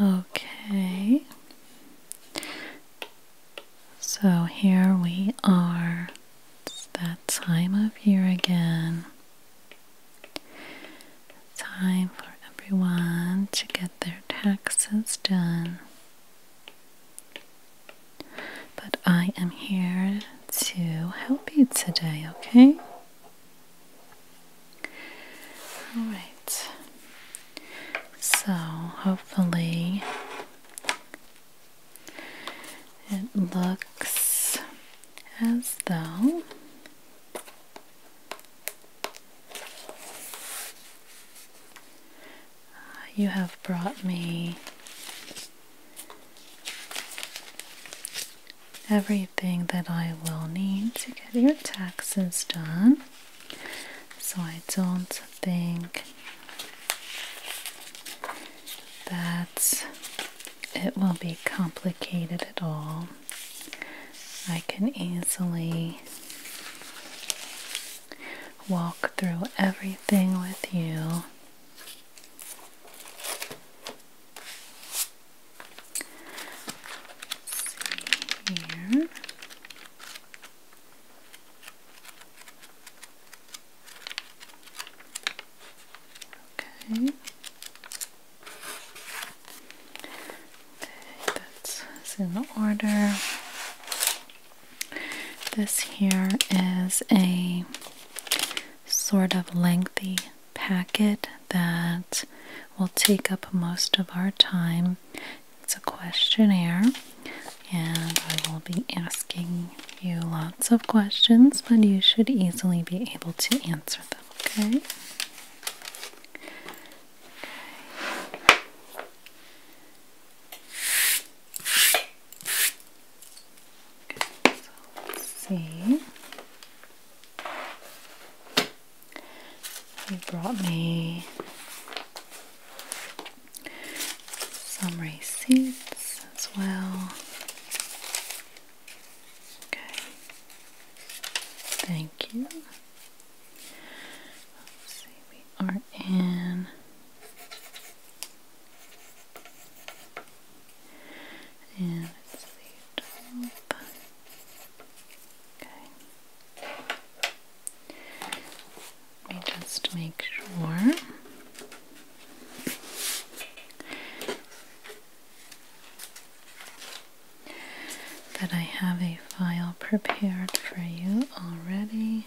Okay. So here we are. It's that time of year again. Time for everyone to get their taxes done. But I am here to help you today, okay? Alright, so hopefully it looks as though you have brought me every everything that I will need to get your taxes done. So I don't think that it will be complicated at all. I can easily walk through everything with you see here. Okay. Okay, that's in order. This here is a sort of lengthy packet that will take up most of our time. It's a questionnaire, and I will be asking you lots of questions, but you should easily be able to answer them, okay? so let's see. He brought me some receipts as well. Okay. Thank you. Let's see, we are in and it's the 12th. Let me just make sure. That I have a file prepared for you already.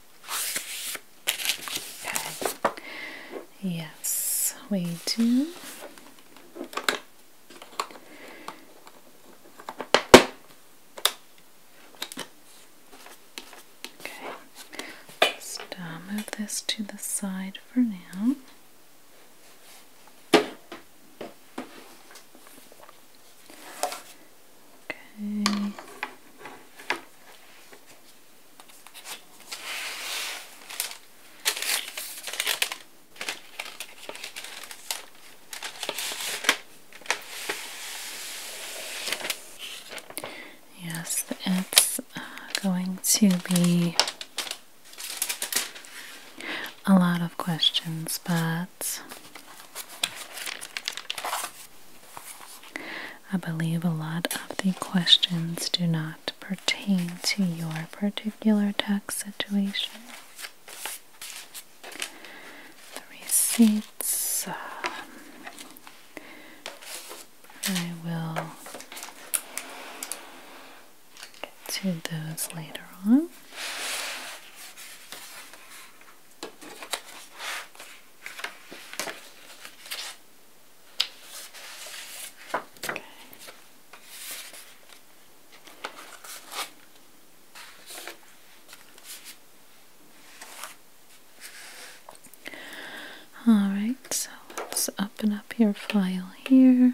Yes, we do. Okay. Just uh, move this to the side for now. Okay. Yes, it's uh, going to be a lot of questions, but I believe a lot of the questions do not pertain to your particular tax situation. The receipts, um, I will get to those later on. All right, so let's open up your file here.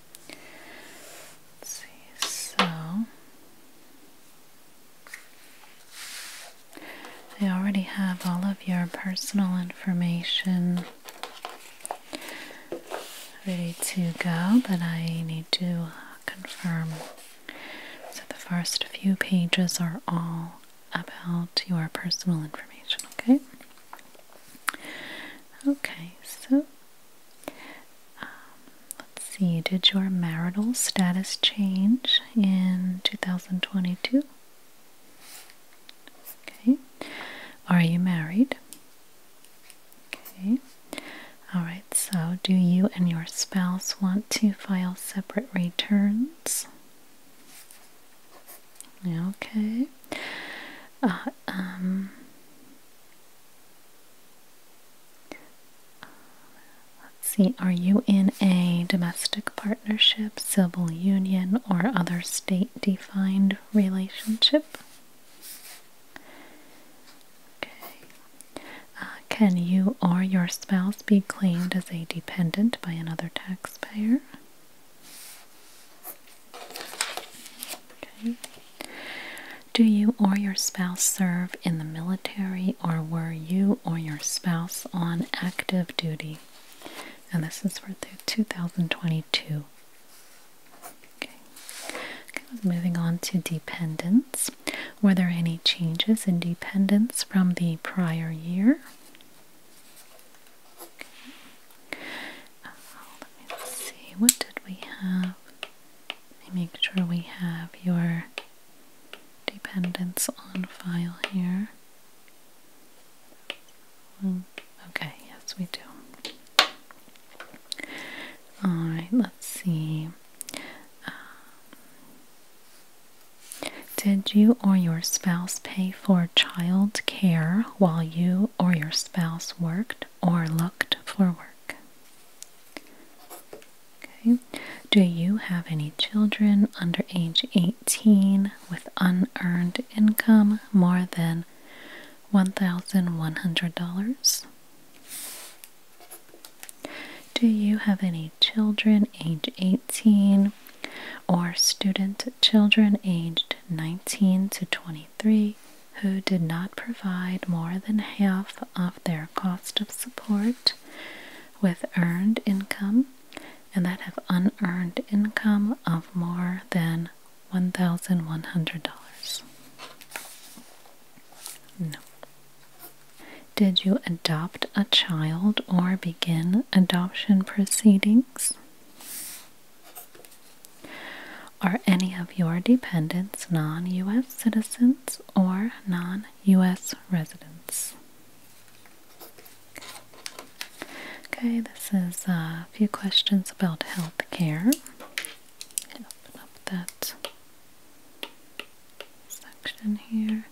see, so they already have all of your personal information ready to go, but I need to confirm. So the first few pages are all about your personal information, okay? Okay, so um, let's see, did your marital status change in 2022? Okay. Are you married? Okay. Alright, so do you and your spouse want to file separate returns? Okay. Uh, um, Let's see, are you in a domestic partnership, civil union, or other state defined relationship? Okay. Uh, can you or your spouse be claimed as a dependent by another taxpayer? Okay. Do you or your spouse serve in the military or were you or your spouse on active duty? And this is for 2022. Okay. moving on to dependents. Were there any changes in dependents from the prior year? Okay. Uh, let me see, what did we have? make sure we have your dependents on file here. Okay, yes, we do. Alright, let's see. Um, did you or your spouse pay for child care while you or your spouse worked or looked for work? Okay. Do you have any children under age 18 with unearned income more than $1,100? Do you have any children age 18 or student children aged 19 to 23? three who did not provide more than half of their cost of support with earned income and that have unearned income of more than $1,100. No. Did you adopt a child or begin adoption proceedings? Are any of your dependents non U.S. citizens or non U.S. residents? Okay, this is a few questions about health care. Open up that section here.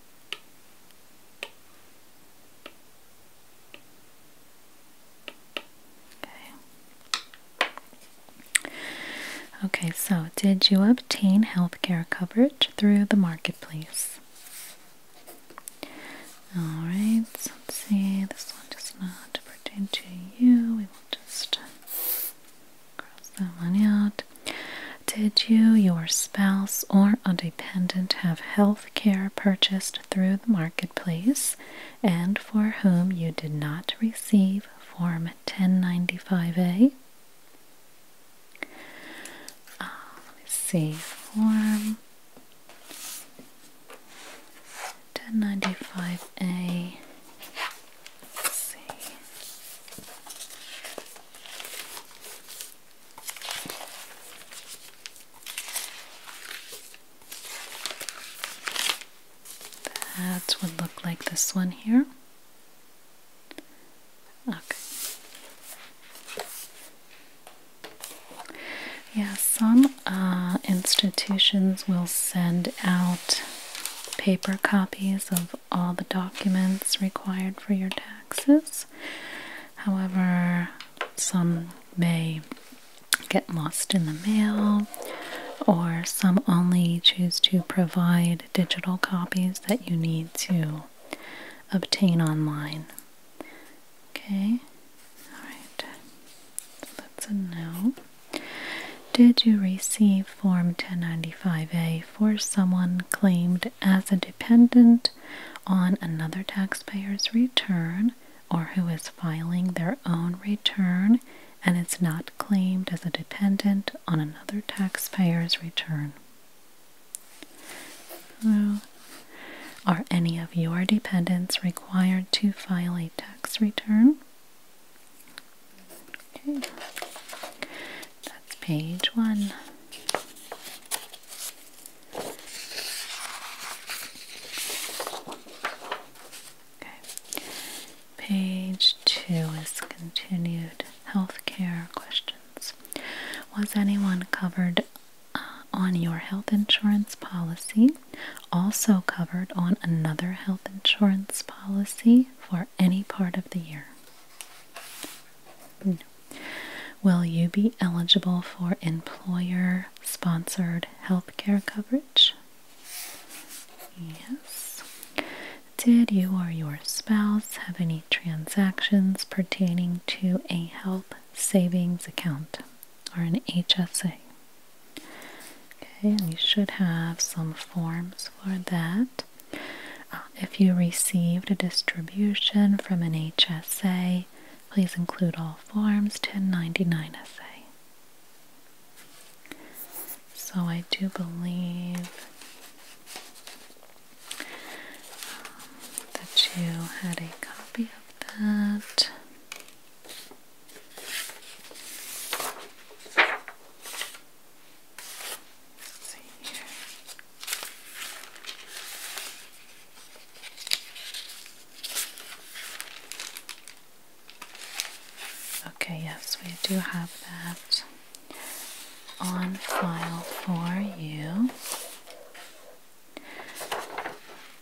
Okay. Okay, so did you obtain health care coverage through the marketplace? Alright, so let's see. This one does not pertain to you. We will just cross that one out. Did you, your spouse, or a dependent have health care purchased through the marketplace and for whom you did not receive form? 1095A. Ah, let's see, form 1095A. Let's see. That would look like this one here. Okay. Yeah, some uh, institutions will send out paper copies of all the documents required for your taxes. However, some may get lost in the mail or some only choose to provide digital copies that you need to obtain online. Okay, alright, that's a no. Did you receive Form 1095A for someone claimed as a dependent on another taxpayer's return or who is filing their own return and it's not claimed as a dependent on another taxpayer's return. are any of your dependents required to file a tax return? Okay. That's page one. Okay. Page two is continued healthcare questions. Was anyone covered uh, on your health insurance policy? Also covered on another health insurance policy for any part of the year? Will you be eligible for employer sponsored healthcare coverage? Yes. Did you or your spouse have any transactions pertaining to a health savings account or an HSA? Okay, and you should have some forms for that. Uh, if you received a distribution from an HSA, please include all forms 1099 SA. So I do believe um, that you had a copy of that. see here. Okay, yes, we do have that on file for you.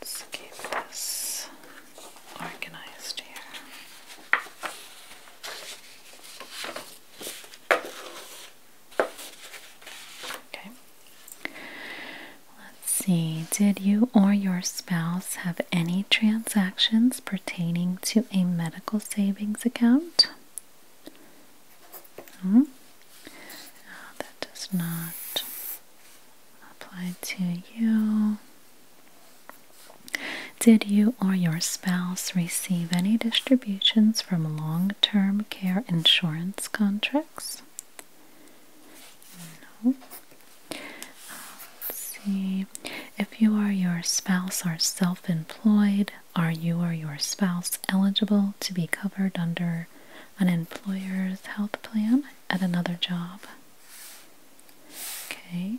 Let's keep this organized here. Okay. Let's see. Did you or your spouse have any transactions pertaining to a medical savings account. Hmm? No, that does not apply to you. Did you or your spouse receive any distributions from long term care insurance contracts? No. let's see. If you are your spouse or self employed, are you or your spouse eligible to be covered under an employer's health plan at another job? Okay.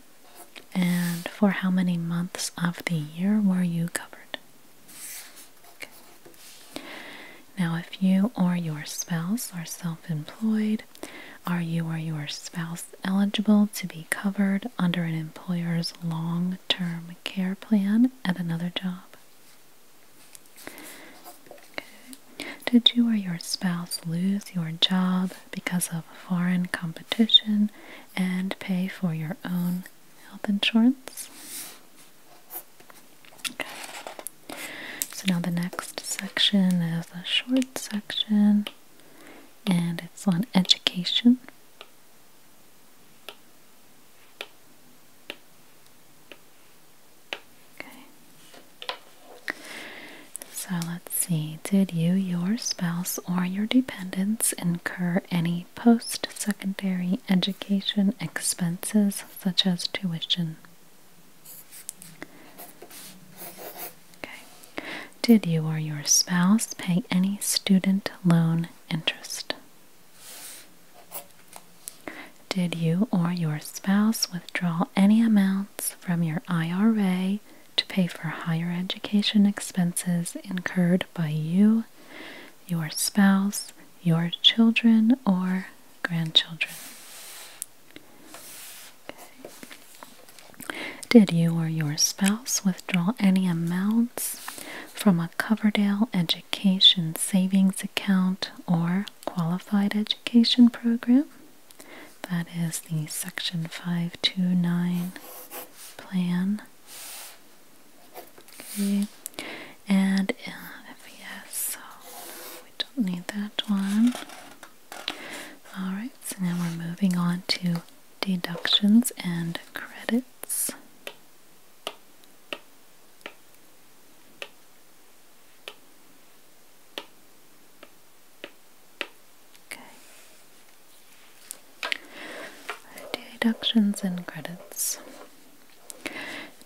And for how many months of the year were you covered? Okay. Now, if you or your spouse are self employed, are you or your spouse eligible to be covered under an employer's long term care plan at another job? Did you or your spouse lose your job because of foreign competition and pay for your own health insurance? Okay. So now the next section is a short section and it's on education. Okay. So let's see. Did you, your spouse, or your dependents incur any post secondary education expenses such as tuition? Did you or your spouse pay any student loan interest? Did you or your spouse withdraw any amounts from your IRA to pay for higher education expenses incurred by you, your spouse, your children, or grandchildren? Did you or your spouse withdraw any amounts from a Coverdale Education Savings Account or Qualified Education Program? That is the Section 529 plan. Okay. And yes, we don't need that one. Alright, so now we're moving on to deductions and credits. Okay. Deductions and credits.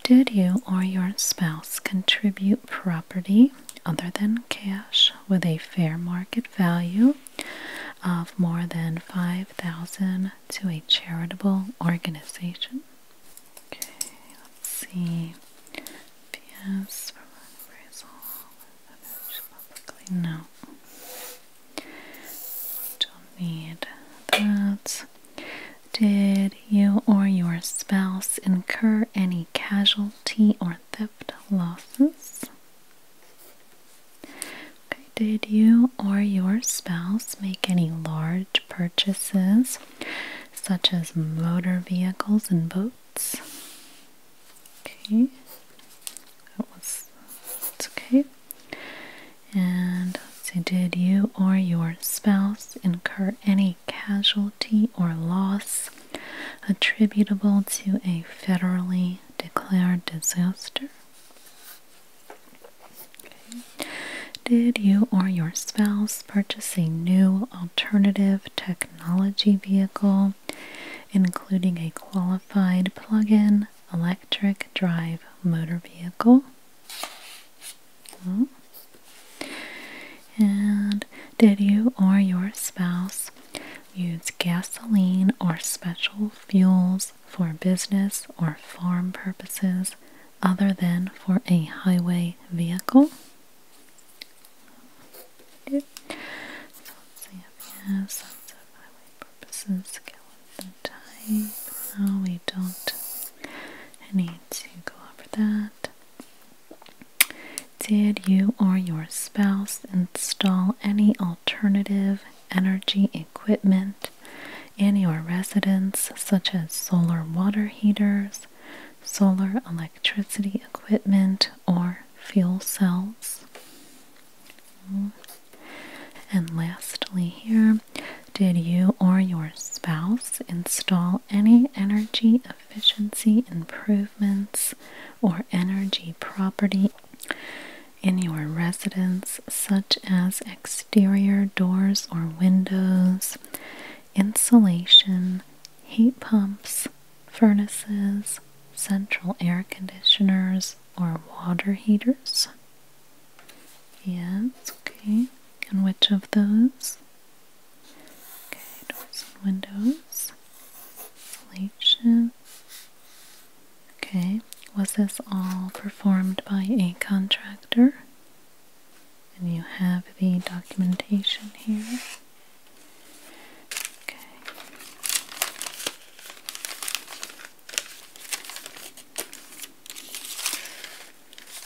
Did you or your spouse contribute property other than cash? with a fair market value of more than 5000 to a charitable organization. Okay, let's see. PS for appraisal. no. Don't need that. Did you or your spouse incur any casualty or theft losses. Okay, did you or your spouse make any large purchases such as motor vehicles and boats? Okay, that was it's okay. And say, did you or your spouse incur any casualty or loss attributable to a federally declared disaster? Did you or your spouse purchase a new alternative technology vehicle, including a qualified plug in electric drive motor vehicle? Hmm. And did you or your spouse use gasoline or special fuels for business or farm purposes other than for a highway vehicle? Okay. So let's highway purposes. Get with type. No, we don't need to go over that. Did you or your spouse install any alternative energy equipment in your residence, such as solar water heaters, solar electricity equipment, or fuel cells? And lastly, here, did you or your spouse install any energy efficiency improvements or energy property in your residence, such as exterior doors or windows, insulation, heat pumps, furnaces, central air conditioners, or water heaters? Yes, okay. And which of those? Okay, doors and windows. Insulation. Okay, was this all performed by a contractor? And you have the documentation here. Okay.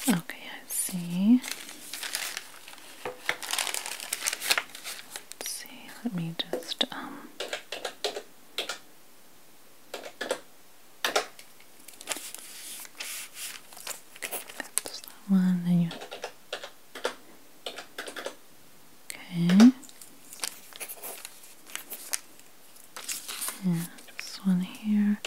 Okay, I see let see, let me just, um, that's that one, and you, okay, and this one here.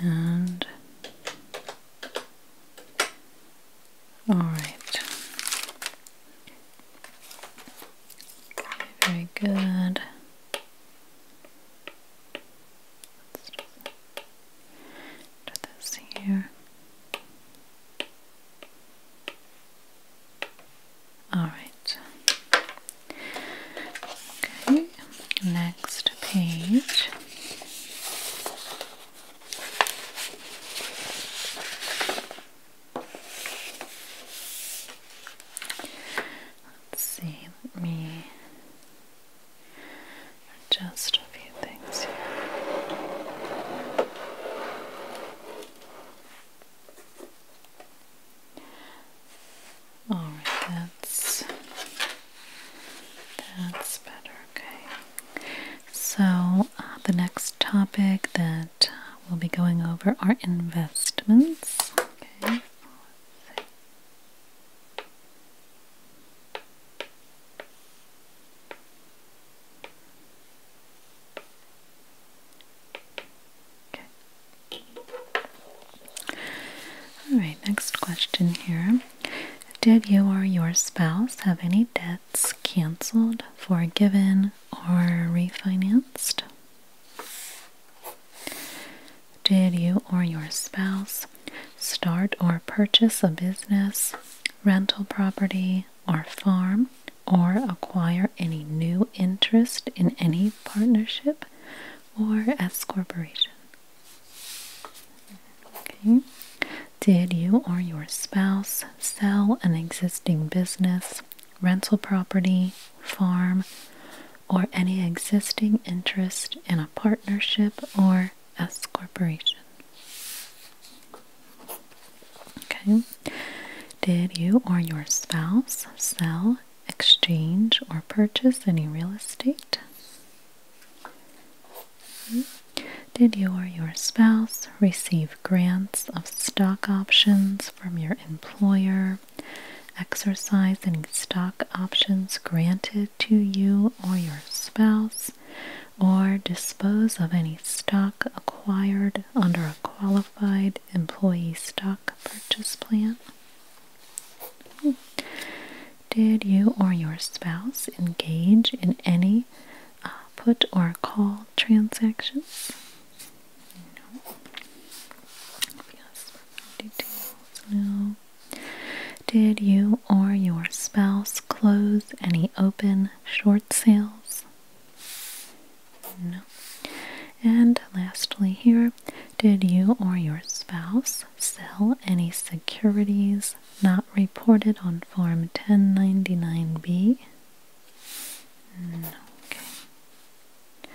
And all right, very good. let this here. Alright. Okay, next page. Let's see, let me adjust a few things here. Alright, that's that's better, okay. So uh, the next topic that uh, we'll be going over are investments. Okay. All right, next question here. Did you or your spouse have any debts canceled, forgiven, or refinanced? Did you or your spouse start or purchase a business, rental property, or farm, or acquire any new interest in any partnership? or S corporation. Okay. Did you or your spouse sell an existing business, rental property, farm, or any existing interest in a partnership or S corporation? Okay. Did you or your spouse sell exchange or purchase any real estate? Did you or your spouse receive grants of stock options from your employer? Exercise any stock options granted to you or your spouse? Or dispose of any stock acquired under a qualified employee stock purchase plan? Did you or your spouse engage in any uh, put or call transactions? No. Yes. No. Did you or your spouse close any open short sales? And lastly, here, did you or your spouse sell any securities not reported on Form 1099B? No. Okay.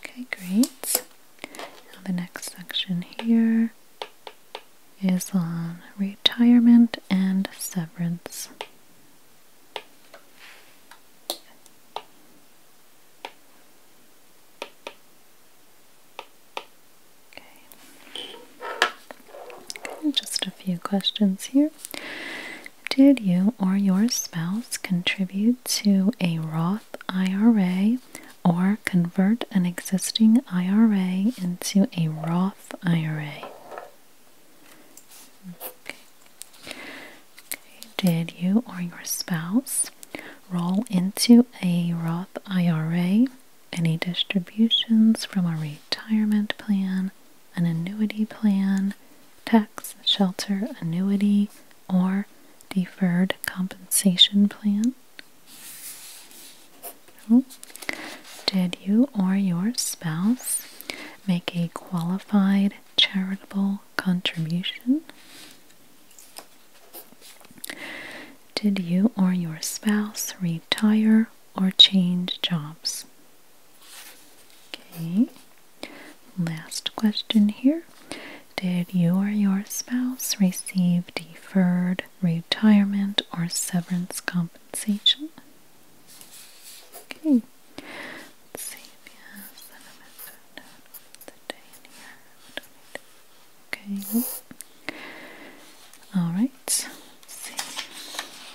Okay, great. the next section here is on retirement and severance. Okay, just a few questions here. Did you or your spouse contribute to a Roth IRA or convert an existing IRA into a Roth IRA? Okay. Did you or your spouse roll into a Roth IRA, any distributions from a retirement plan, an annuity plan, tax shelter annuity, or deferred compensation plan? Did you or your spouse make a qualified charitable contribution. Did you or your spouse retire or change jobs? Okay, last question here. Did you or your spouse receive deferred retirement or severance compensation? Okay, see if he has that I'm the day in here. Okay. Alright, see.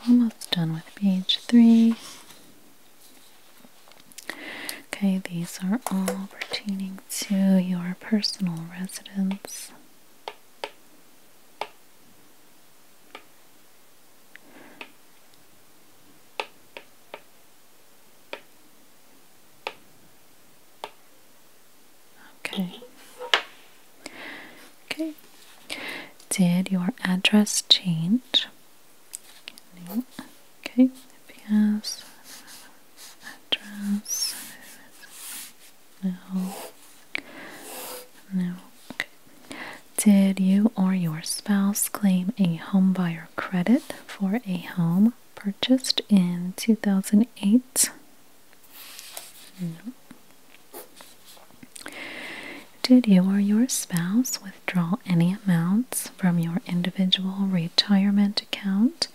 Almost done with page three. Okay, these are all pertaining to your personal residence. Okay. Okay. Did your address change? No. Okay. Yes. Address. No. No. Okay. Did you or your spouse claim a homebuyer credit? for a home purchased in 2008. Did you or your spouse withdraw any amounts from your individual retirement account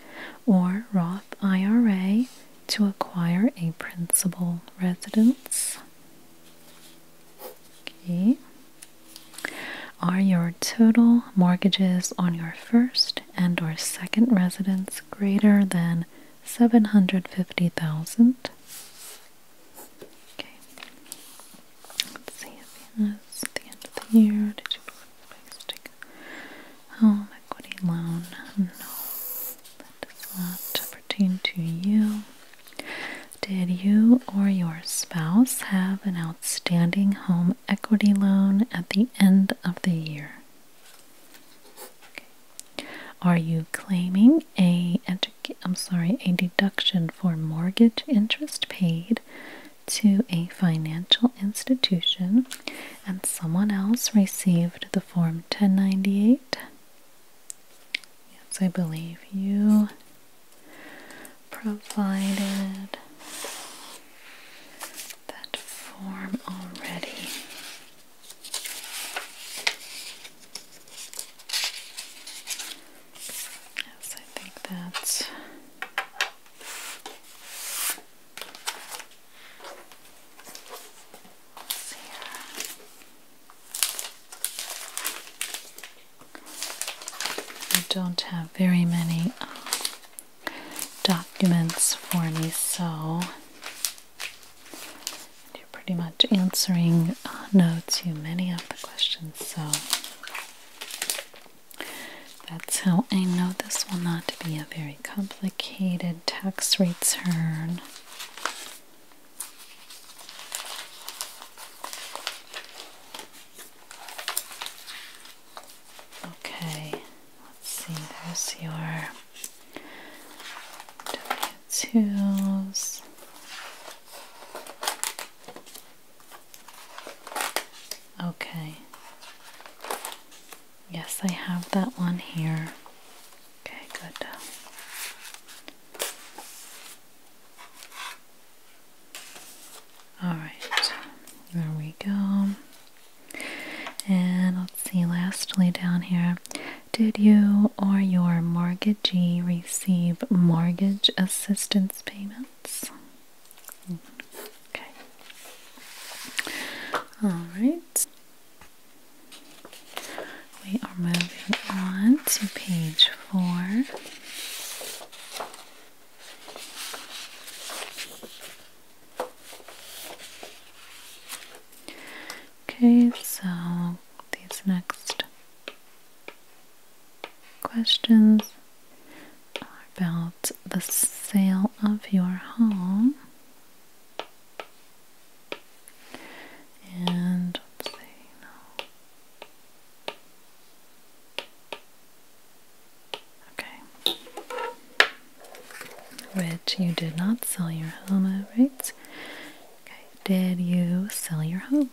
or Roth IRA to acquire a principal residence? Okay. Are your total mortgages on your first and or second residence greater than 750,000? Okay. Let's see if he has at the end of the year. Did you take home equity loan? No. That does not pertain to you. Did you or your spouse have an outstanding home equity loan at the end of the year? Are you claiming a I'm sorry, a deduction for mortgage interest paid to a financial institution and someone else received the form 1098? Yes, I believe you provided that form already. Yes, I think that's. I don't have very many um, documents for me, so you're pretty much answering uh, no to many of the questions, so that's how I know this will not be a very complicated tax return. Okay, let's see, there's your tools. Okay. Yes, I have that one here. Okay, good. Alright, there we go. And let's see, lastly down here, did you or your mortgagee receive mortgage assistance payments? Okay. Alright. We are moving on to page four. Okay, so these next questions are about the sale of your home. And let's see, Okay. Which you did not sell your home, right? Okay. Did you sell your home?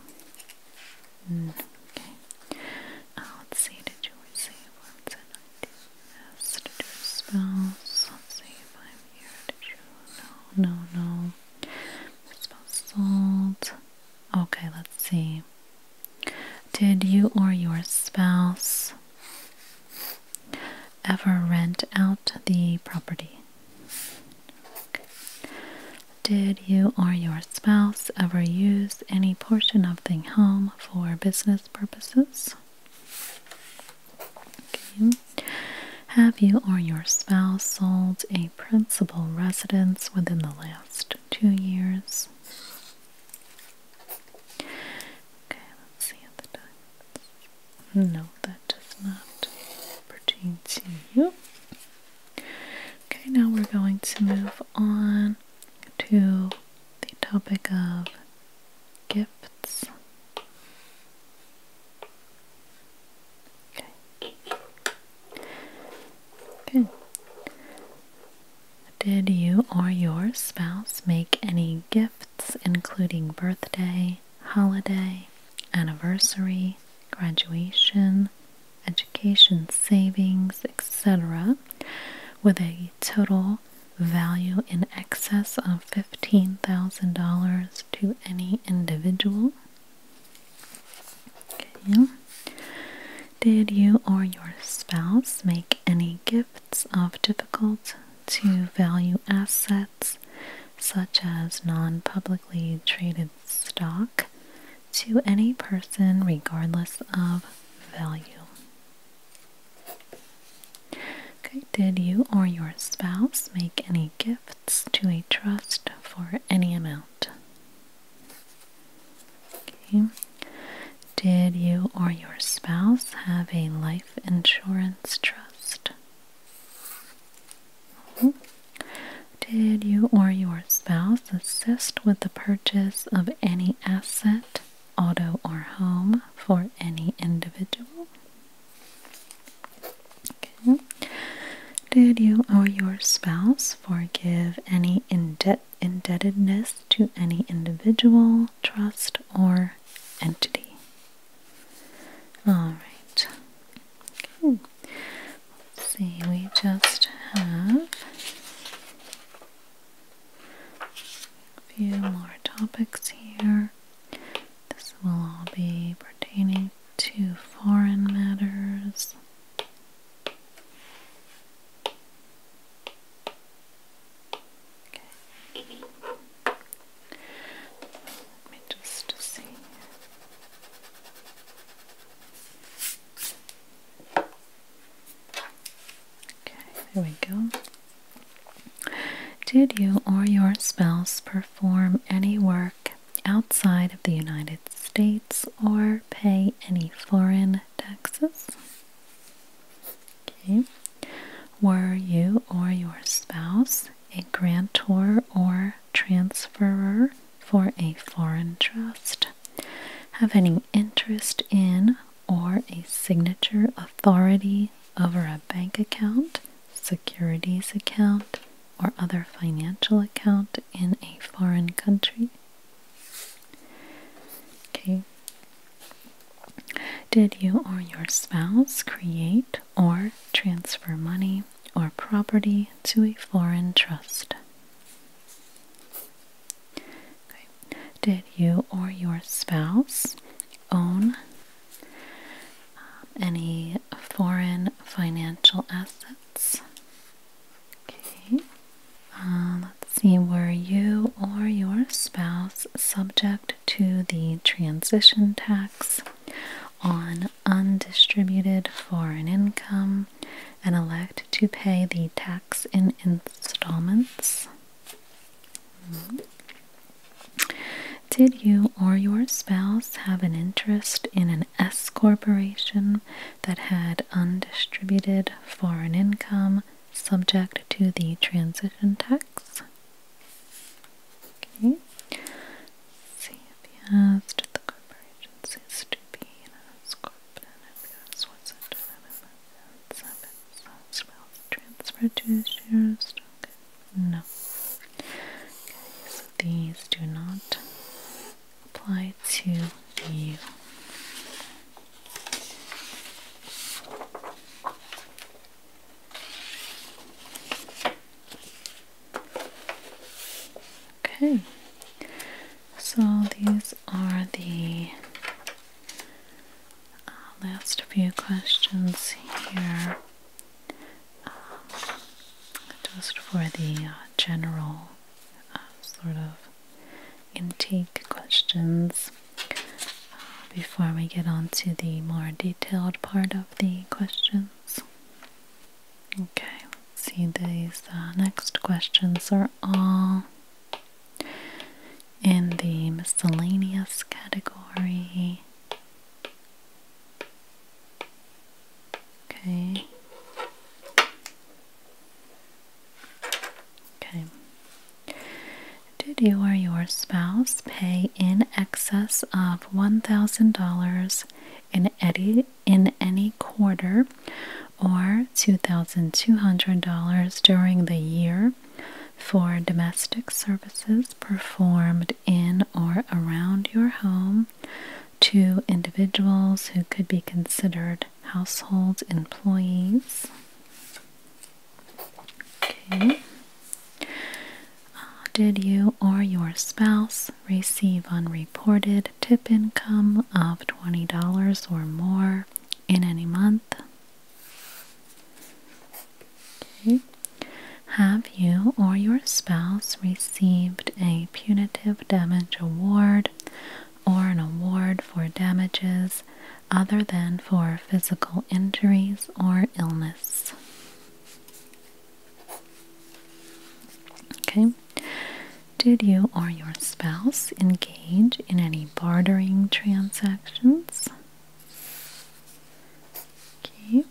Mm, okay. Uh, let's see. Did you receive once Did you spouse? let Did you? No, no, Okay, let's see. Did you or your spouse ever rent out the property? Did you or your spouse ever use any portion of the home for business purposes? Have you or your spouse sold a principal residence within the last two years. Okay, let's see if that does. No, that does not pertain to you. Okay, now we're going to move on to the topic of gifts. Okay. Good. Did you or your spouse make any gifts, including birthday, holiday, anniversary, graduation, education savings, etc., with a total value in excess of $15,000 to any individual? Did you or your spouse make any gifts of difficult to value assets such as non publicly traded stock to any person regardless of value? Okay, did you or your spouse make any gifts to a trust for any amount? Did you or your spouse have a life insurance trust? Mm-hmm. Did you or your spouse assist with the purchase of any asset, auto, or home for any individual? Did you or your spouse forgive any indebtedness to any individual, trust, or entity. All right. Let's see, we just have a few more topics here. This will all be pertaining to foreign matters. Okay. Let me just see. Okay, there we go. Did you or your spouse perform any work outside of the United States or pay any foreign taxes. Okay. Were you or your spouse a grantor or transferor for a foreign trust? Have any interest in or a signature authority over a bank account, securities account, or other financial account in a foreign country. Okay. Did you or your spouse create or transfer money or property to a foreign trust? Okay. Did you or your spouse own uh, any foreign financial assets? Uh, let's see. Were you or your spouse subject to the transition tax on undistributed foreign income and elect to pay the tax in installments? Hmm. Did you or your spouse have an interest in an S corporation that had undistributed foreign income subject to the transition tax. Okay. Let's see if he has to the corporation cease to be what's it transfer to shares no. Okay, so these do not apply to you. Okay, so these are the uh, last few questions here just for the uh, general uh, sort of intake questions uh, before we get on to the more detailed part of the questions. Okay, let's see, these next questions are all in the miscellaneous category. Okay. Okay. Did you or your spouse pay in excess of $1,000 in any, in any quarter or $2,200 during the year for domestic services performed in or around your home to individuals who could be considered household employees. Uh, did you or your spouse receive unreported tip income of $20 or more in any month? Have you or your spouse received received a punitive damage award or an award for damages other than for physical injuries or illness. Okay. Did you or your spouse engage in any bartering transactions? Okay.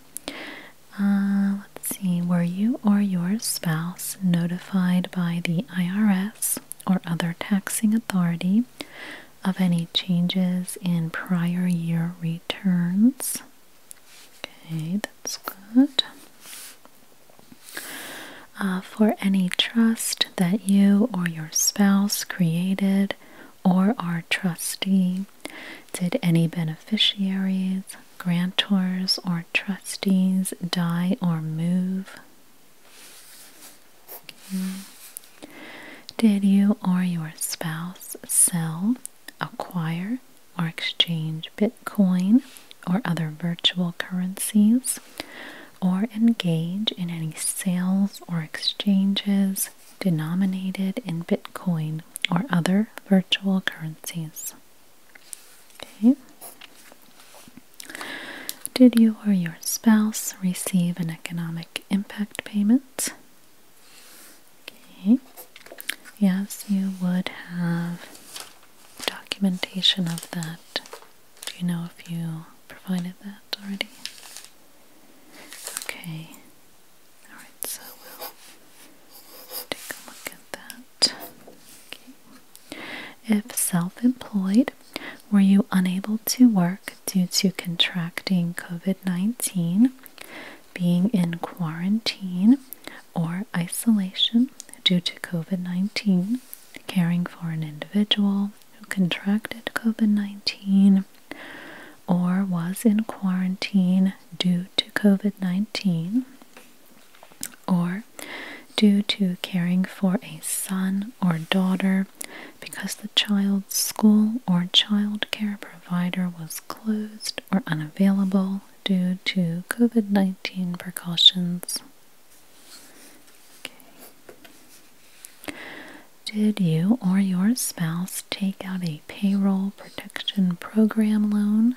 Uh, let's see, were you or your spouse notified by the IRS or other taxing authority of any changes in prior year returns? Okay, that's good. Uh, for any trust that you or your spouse created or are trustee, did any beneficiaries, grantors or trustees die or move? Did you or your spouse sell, acquire, or exchange Bitcoin or other virtual currencies, or engage in any sales or exchanges denominated in Bitcoin or other virtual currencies? Okay. Did you or your spouse receive an economic impact payment? Okay. Yes, you would have documentation of that. Do you know if you provided that already? Okay. Alright, so we'll take a look at that. If self employed, were you unable to work due to contracting COVID 19, being in quarantine or isolation due to COVID 19, caring for an individual who contracted COVID 19 or was in quarantine due to COVID 19 or due to caring for a son or daughter because the child's school or child care provider was closed or unavailable due to COVID 19 precautions. Did you or your spouse take out a payroll protection program loan?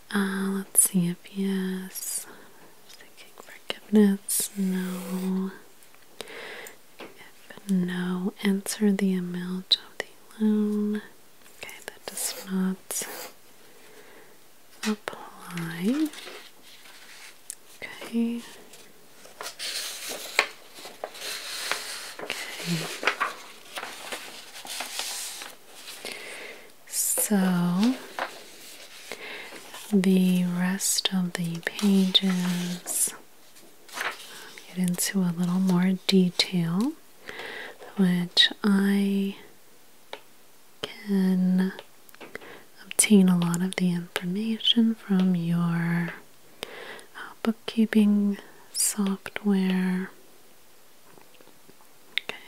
Uh, let's see if yes. Seeking forgiveness. No. If no, answer the amount of the loan. Okay, that does not apply. Okay. Okay. So the rest of the pages get into a little more detail, which I can obtain a lot of the information from your uh, bookkeeping software.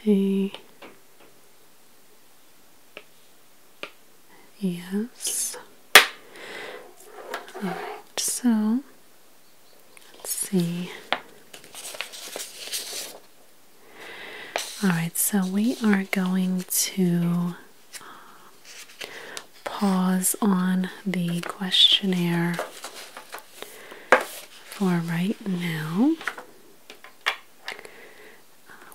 Okay. Yes. All right, so let's see. All right, so we are going to uh, pause on the questionnaire for right now. Uh,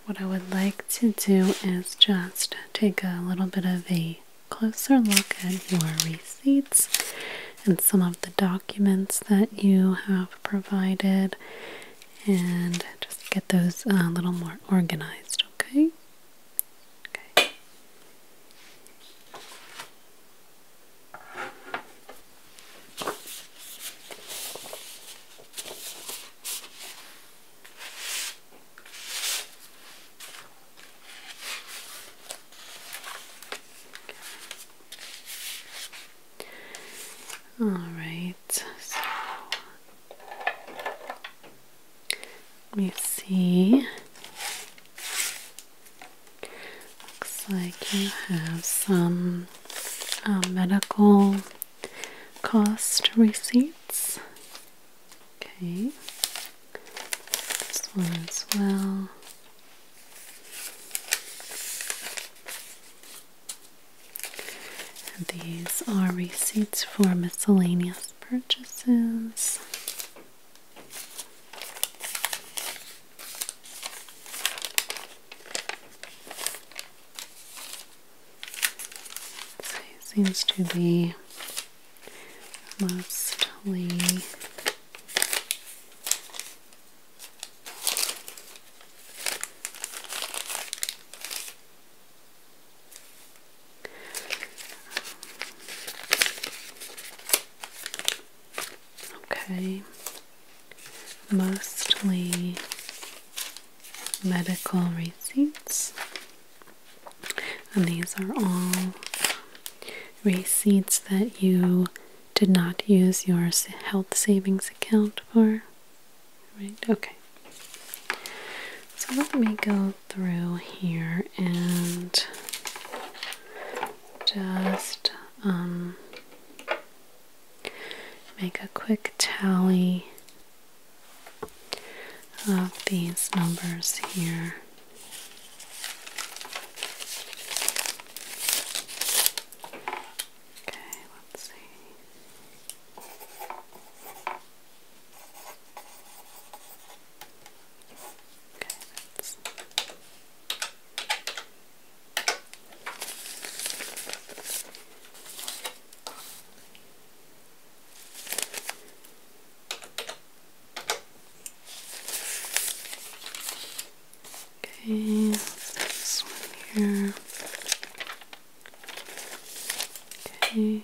what I would like to do is just take a little bit of a closer look at your receipts and some of the documents that you have provided and just get those a little more organized, okay? Okay. All right, so let me see. Looks like you have some um, medical cost receipts. Okay, this one as well. these are receipts for miscellaneous purchases seems to be mostly Okay, mostly medical receipts, and these are all receipts that you did not use your health savings account for. Right, okay. So let me go through here and just um, Make a quick tally of these numbers here. Okay, let's see. Okay, this one here. Okay.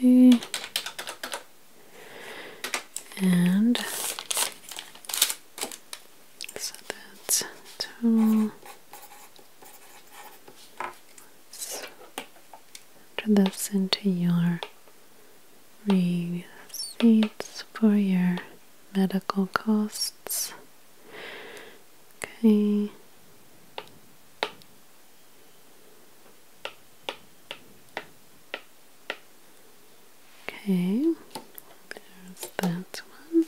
Okay. And so that's two. Let's this into your receipts for your medical costs. Okay. Okay, there's that one.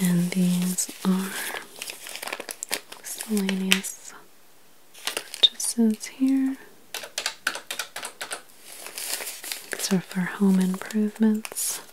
And these are miscellaneous purchases here. These are for home improvements.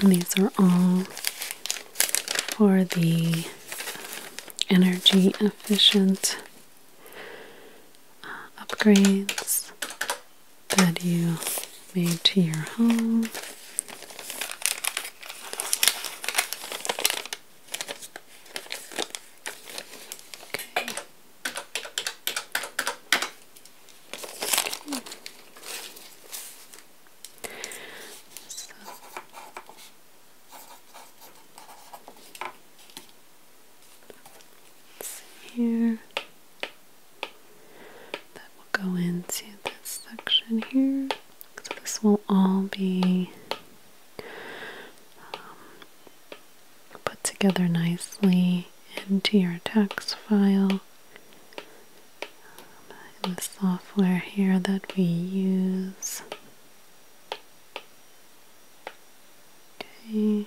these are all for the um, energy efficient uh, upgrades that you made to your home. Here, that will go into this section here. So this will all be um, put together nicely into your text file in the software here that we use. Okay.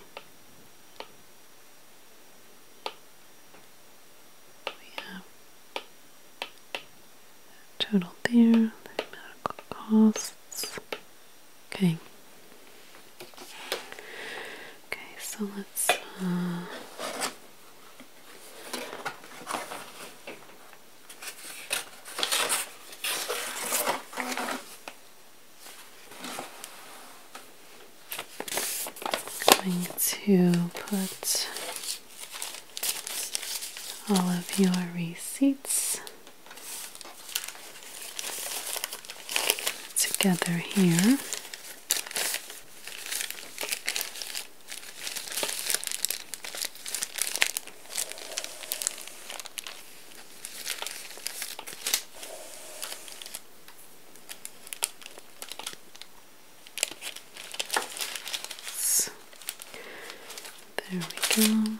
We have total there, medical costs. Okay. Okay, so let's. Uh, going to put all of your receipts together here. So, there we go.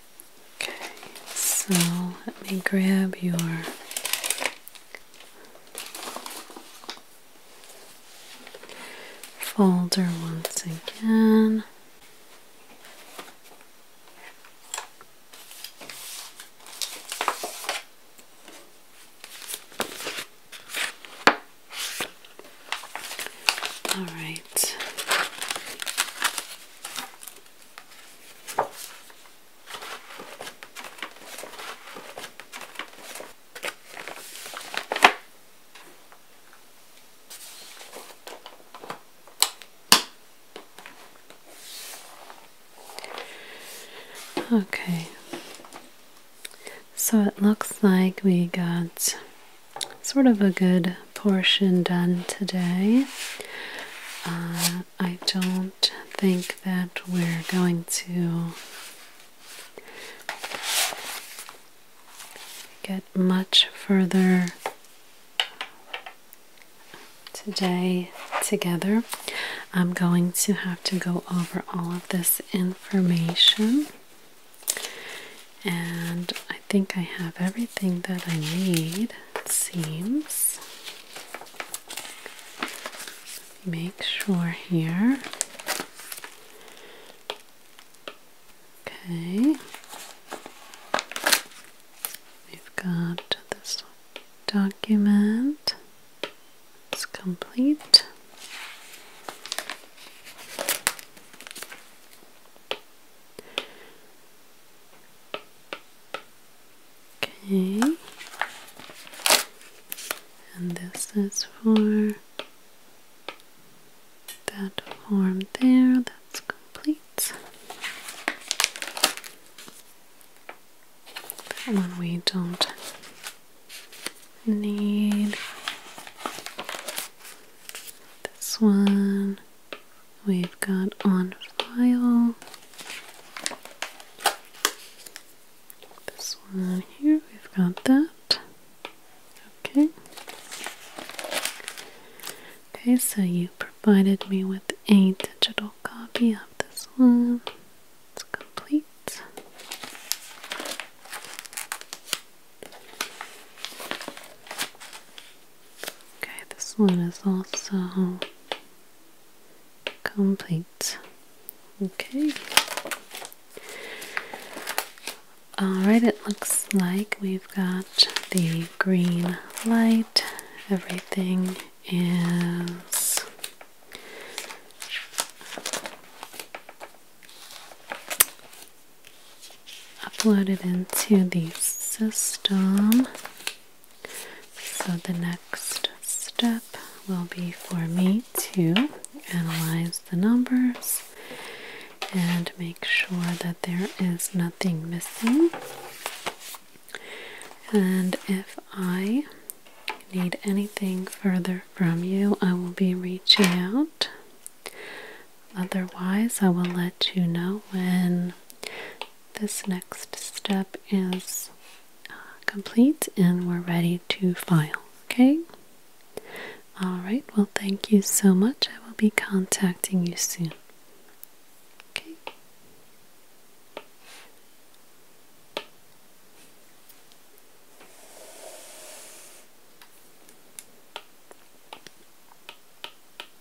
Okay, so let me grab your folder once again. All right. Okay, so it looks like we got sort of a good portion done today. Uh, I don't think that we're going to get much further today together. I'm going to have to go over all of this information. And I think I have everything that I need seams. Make sure here. Okay. We've got this document. It's complete. Okay, and this is for that form there, that's complete. That one we don't need. This one we've got on file this one here, we've got that. Okay. Okay, so you provided me with a digital copy of this one. It's complete. Okay, this one is also complete. Okay. Alright, it looks like we've got the green light. Everything is uploaded into the system. So the next step will be for me to analyze the numbers and make sure that there is nothing missing. And if I need anything further from you, I will be reaching out. Otherwise, I will let you know when this next step is uh, complete and we're ready to file, okay? Alright, well, thank you so much. I will be contacting you soon. Okay.